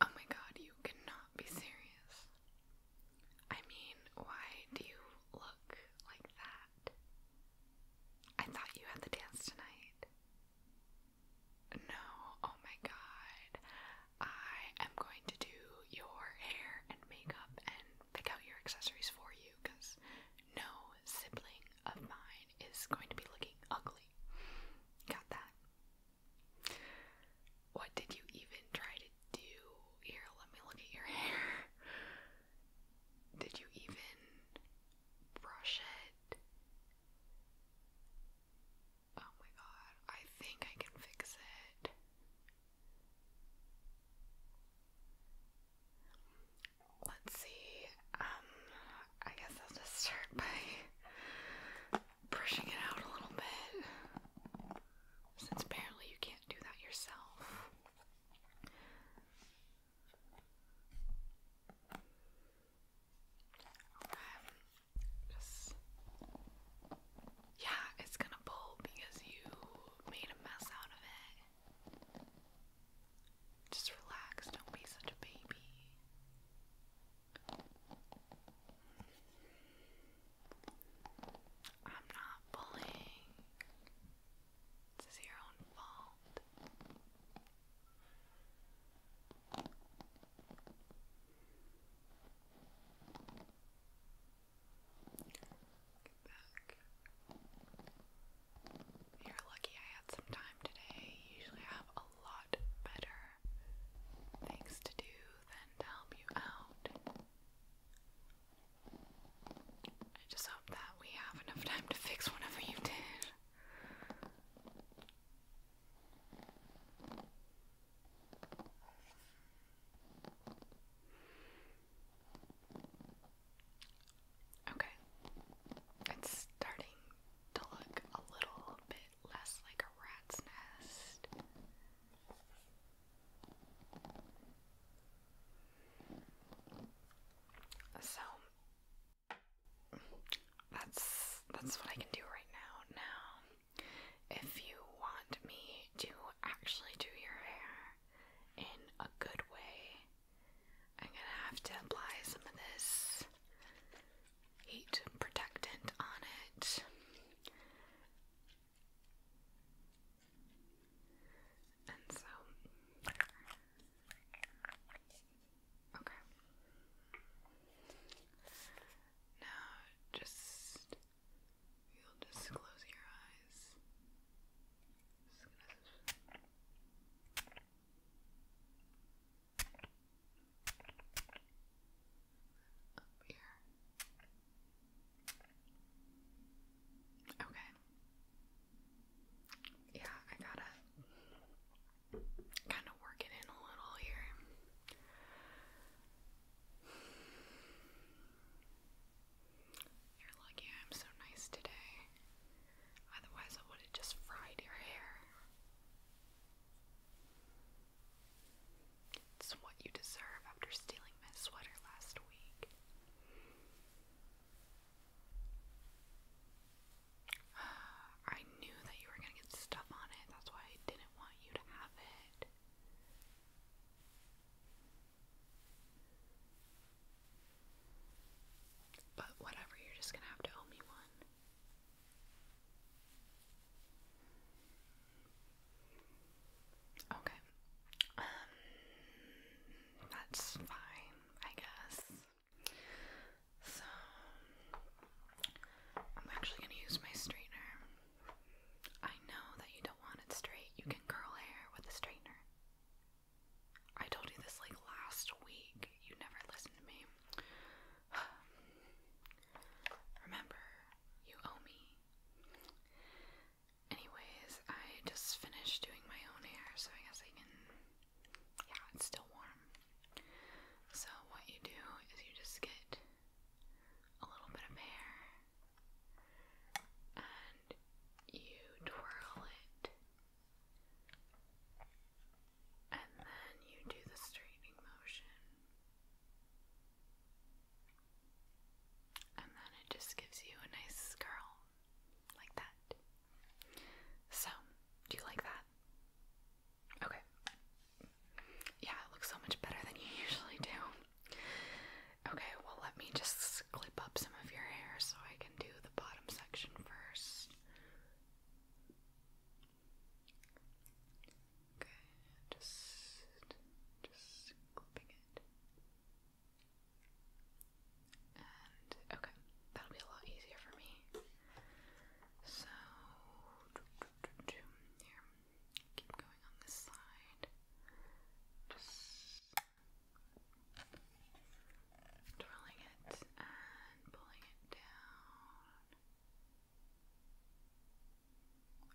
Oh my god, you cannot be serious. I mean, why do you look like that? I thought you had the dance tonight. No, oh my god. I am going to do your hair and makeup and pick out your accessories for you because no sibling of mine is going to be looking ugly. Got that? What did you even try to do? Here, let me look at your hair. Did you even brush it? Oh my god, I think I can fix it. Let's see. Um I guess I'll just start by brushing it out a little bit. Since apparently you can't do that yourself. Okay. yeah, it's gonna pull because you made a mess out of it. Just relax, don't be such a baby. I'm not bullying. This your own fault. Get back. You're lucky I had some time today. Usually I have a lot better things to do than to help you out. I just hope that we have enough time to fix whatever you did. Okay. It's starting to look a little bit less like a rat's nest. So that's that's what I can do right now. Now, if you want me to actually do your hair in a good way, I'm gonna have to apply some of this heat protectant on it. And so, okay. Now, just you'll just close your eyes. Up here. Okay. Yeah, I gotta kind of work it in a little here. You're lucky I'm so nice today. Otherwise, I would have just fried your hair. It's what you deserve after stealing my sweater last week. I knew that you were gonna get stuff on it, that's why I didn't want you to have it. But whatever, you're just gonna have to owe me one. Okay. Um that's fine, I guess. So I'm actually gonna use my straightener. I know that you don't want it straight. You can curl hair with a straightener. I told you this like last week. You never listened to me. Remember, you owe me. Anyways, I just finished doing my own hair, so I guess I can. Yeah, it's still warm. So, what you do is you just get a little bit of hair and you twirl it and then you do the straightening motion. And then it just gives you a nice curl like that. So, do you like that? Okay. Yeah, it looks so much better than you usually do. Okay, well, let me just clip up some of your hair so I can do the bottom section first. Okay, just just clipping it. And okay, that'll be a lot easier for me. So here, keep going on this side. Just twirling it and pulling it down.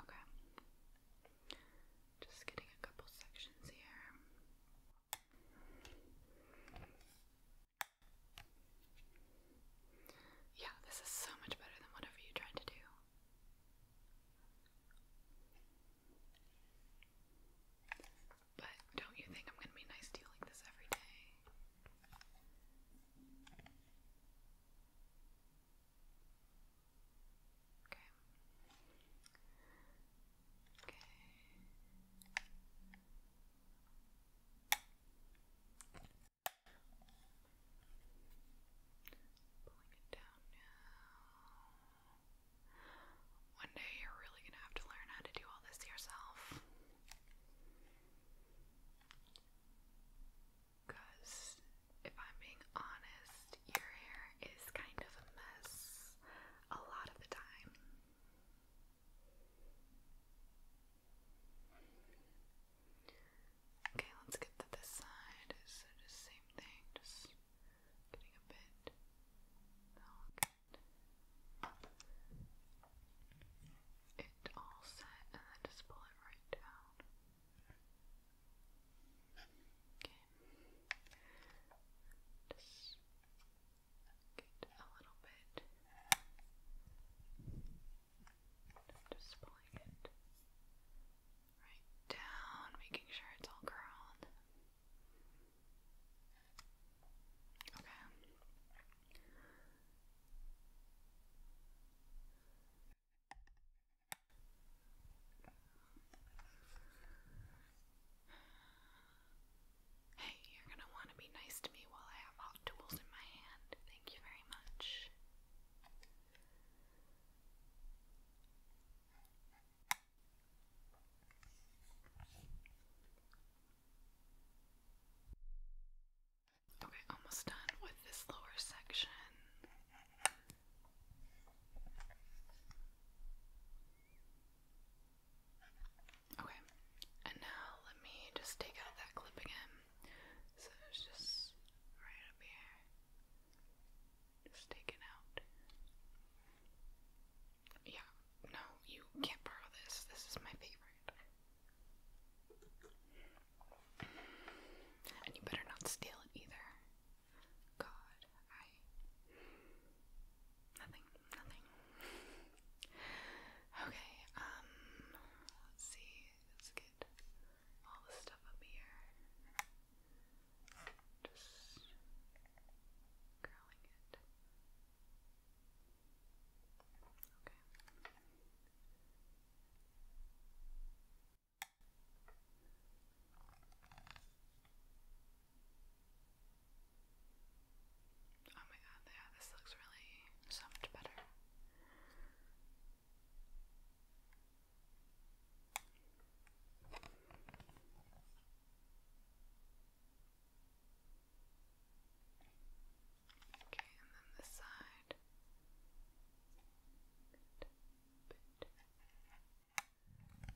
Okay. Just getting a couple sections here. Yeah, this is so much better than whatever you tried to do. But don't you think I'm going to be nice to this every day? Okay. Okay. Pulling it down now. One day you're really gonna have to learn how to do all this yourself. Because, if I'm being honest, your hair is kind of a mess a lot of the time. Okay, let's get to this side. So, just same thing, just getting a bit. Oh, it all set and then just pull it right down. Okay. Just a little bit. just pulling it right down, making sure it's all curled. Okay. Hey, you're gonna want to be nice to me while I have hot tools in my hand. Thank you very much. Okay, almost done with this lower section. Okay, and now let me just take out that clip again. So it's just right up here. Just take it out. Yeah, no, you can't borrow this. This is my favorite. And you better not steal it either. God, I. Nothing, nothing. Okay, um, let's see. Let's get all the stuff up here just curling it. Okay. Oh my god, yeah, this looks really so much better. Okay, and then this side.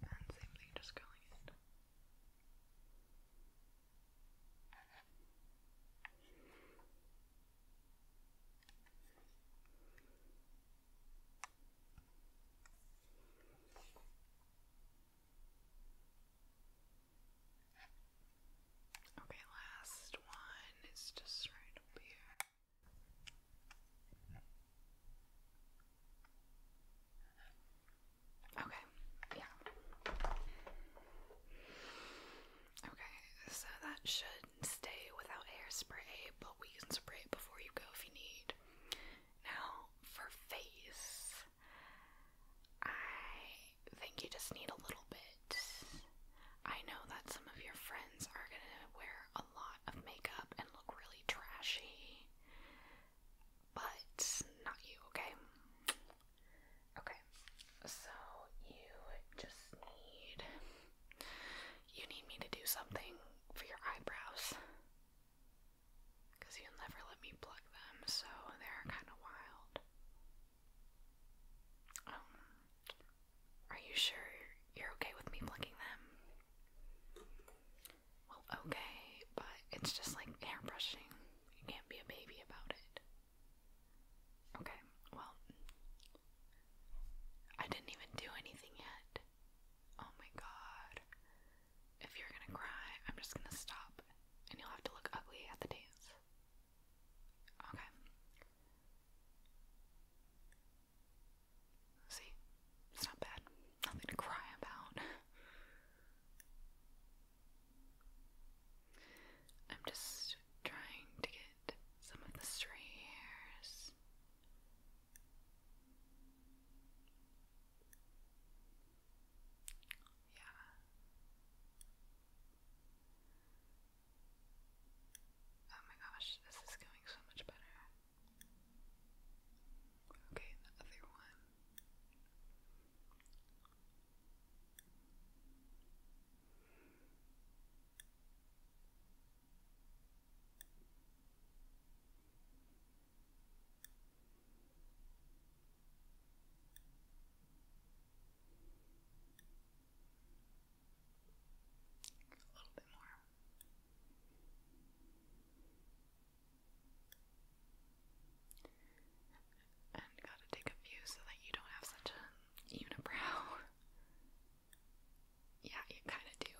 And same thing, just curling it. Okay, last one is just right up here. Okay, yeah. Okay, so that should stay without hairspray, but we can spray it before you go if you need. Now, for face, I think you just need a little bit. I know that some of your friends are gonna wear a lot of makeup and look really trashy, but not you, okay? Okay, so you just need you need me to do something for your eyebrows. Because you never let me pluck them, so they're kind of wild. Um, are you sure you're okay with me plucking them? Well, okay, but it's just like airbrushing. You can't be a baby about it. Okay, well, I didn't even do anything yet. Oh my god. If you're gonna cry, I'm just gonna stop and you'll have to look ugly at the dance. Okay. See? It's not bad. Nothing to cry about. I'm just trying to get some of the stray hairs yeah. Oh my gosh, this is going so much better. Okay, the other one. A little bit more. And gotta take a few so that you don't have such a unibrow. Yeah, you kind of do.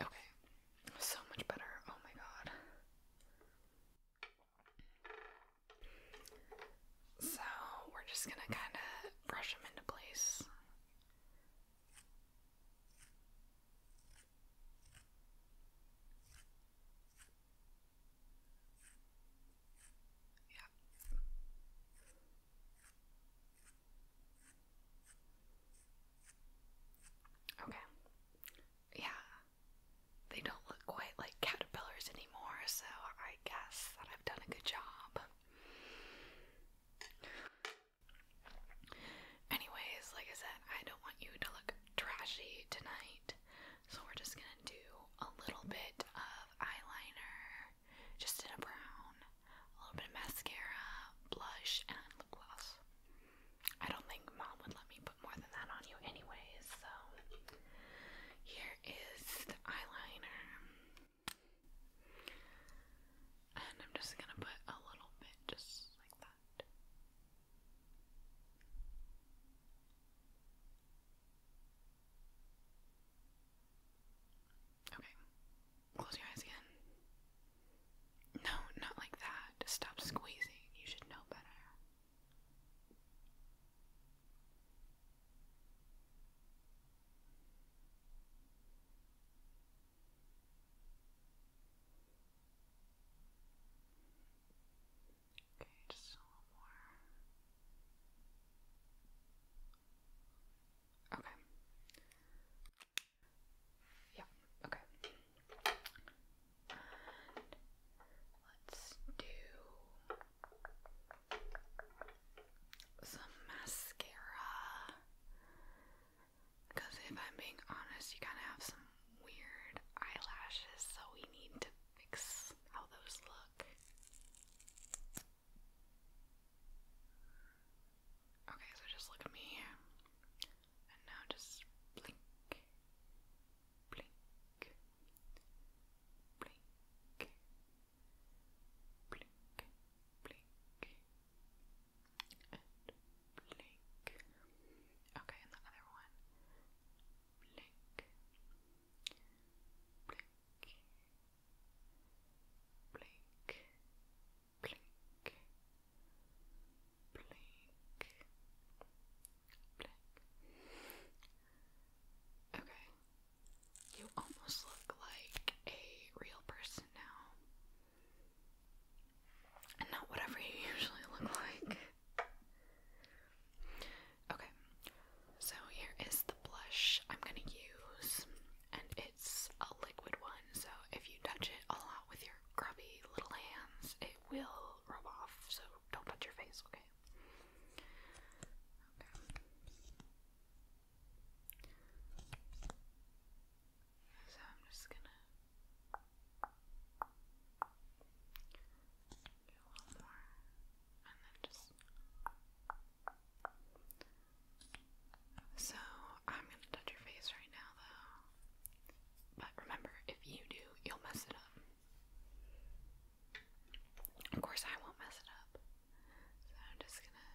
Okay, so much better. Oh my god. So, we're just gonna kind of brush them into place. Yeah. Okay. Yeah. They don't look quite like caterpillars anymore, so I guess that I've done a good job. Anyways, like I said, I don't want you to look trashy tonight, so we're just gonna do a little bit of eyeliner, just in a brown, a little bit of mascara, blush, and lip gloss. I don't think mom would let me put more than that on you, anyways, so here is the eyeliner. And I'm just gonna put a little bit just like that. Okay. Close your eyes again. No, not like that. Stop squeezing. You should know better. Okay, just a little more. Okay. Yeah, okay. let's do some mascara. Because if I'm being honest, you kind of have some weird eyelashes, so we need to fix how those look. Okay, so just look at me. And now just blink. Blink. Blink. Blink. Blink. Blink and blink. Okay, and the other one. Blink. Blink. Blink. Blink. Blink. Blink. Okay. You almost look like a real person now. And not whatever you usually look like. Okay, so here is the blush I'm gonna use, and it's a liquid one, so if you touch it a lot with your grubby little hands, it will rub off, so don't touch your face, okay? Okay. So I'm just gonna do a little more and then just. So I'm gonna touch your face right now though. But remember, if you do, you'll mess it up. Of course, I won't mess it up. So I'm just gonna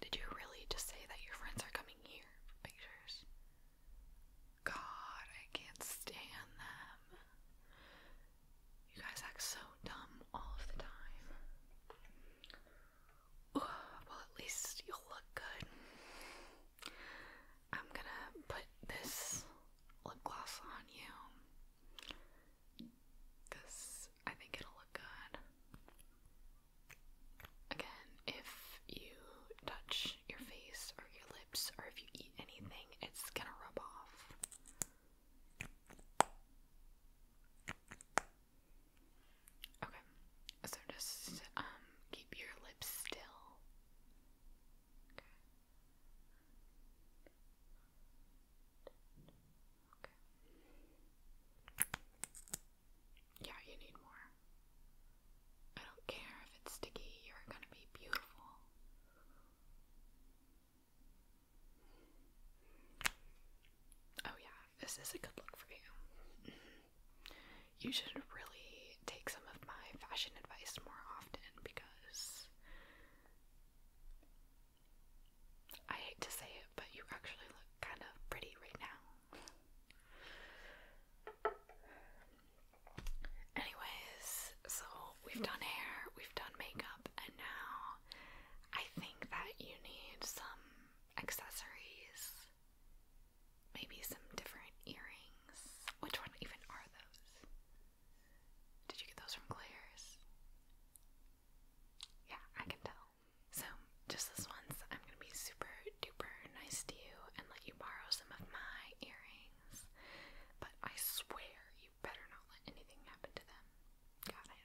did you really just say that your friends are coming here for pictures? God, I can't stand them. You guys act so dumb all of the time. well, at least you'll look good. I'm gonna put this lip gloss on you. Because I think it'll look good. Again, if you touch your face or your lips or if you eat anything, it's gonna rub off. Okay, so just um, keep your lips still. Yeah, you need more. I don't care if it's sticky, you're gonna be beautiful. Oh, yeah, this is a good look for you. You should really take some of my fashion advice more often because I hate to say it, but you actually look kind of pretty right now. Anyways, so we've done hair, we've done makeup, and now I think that you need some accessories. Maybe some different earrings. Which one even are those? Did you get those from Claire's? Yeah, I can tell. So, just this once, I'm gonna be super duper nice to you and let you borrow some of my earrings. But I swear you better not let anything happen to them. Got it?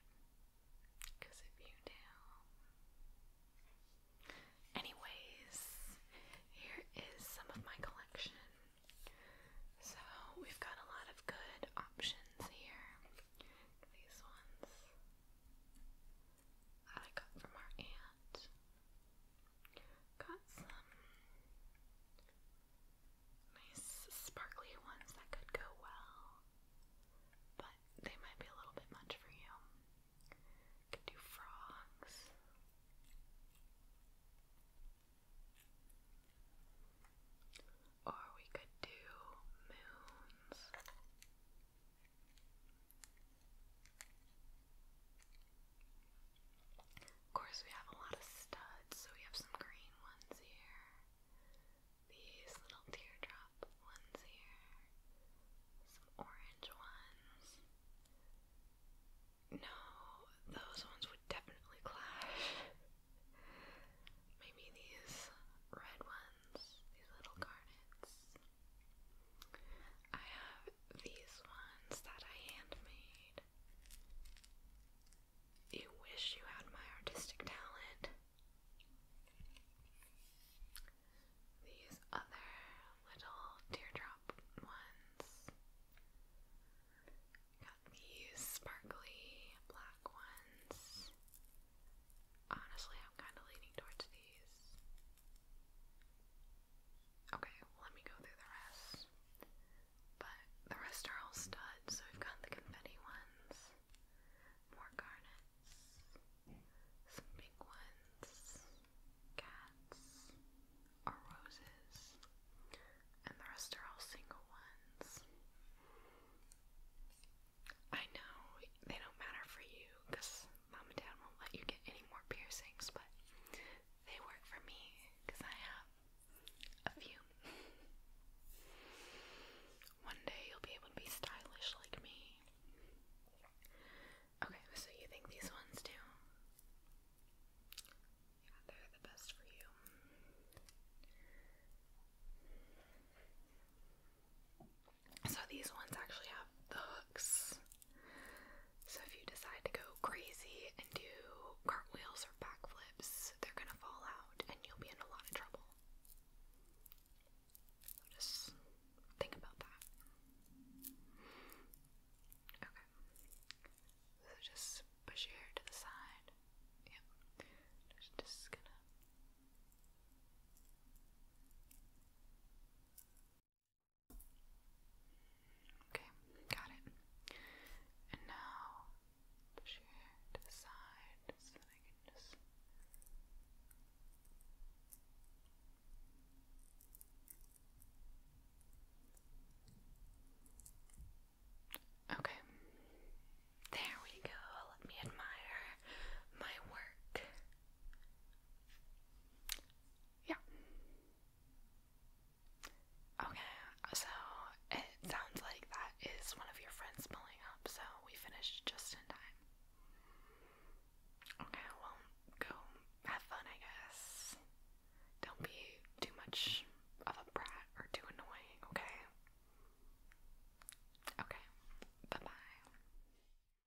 Because if you do. Anyways, here is some of my collection. So we've got a lot of good options here. These ones I got from our aunt. Got some nice sparkly ones that could go well, but they might be a little bit much for you. Could do frogs. Or we could do moons. Of course, we have a lot of studs, so we have some green ones here. These little teardrop ones here. Some orange ones. No, those ones would definitely clash. Maybe these red ones, these little garnets. I have these ones that I handmade. You wish you had my artistic talent. These other little teardrop ones. Got these sparkly black ones. Honestly, I'm kind of leaning towards these. Okay, let me go through the rest. But the rest are all studs, so we've got the confetti ones, more garnets, some big ones, cats, or roses, and the rest are all single ones. I know they don't matter for you because mom and dad won't let you get any more piercings, but they work for me because I have a few. One day you'll be able to be stylish like me. Okay, so you think these ones do? Yeah, they're the best for you. So these ones actually have the hooks so if you decide to go crazy and do cartwheels or backflips, they're gonna fall out and you'll be in a lot of trouble. So just think about that. Okay. So just push your hair to the side. Yep. Just, gonna Okay, got it. And now push your hair to the side so that I can just Okay. There we go. Let me admire my work yeah. Okay, so it sounds like that is one of your friends pulling up, so we finished just in time. Okay, well, go have fun, I guess. Don't be too much of a brat or too annoying, okay? Okay, bye bye.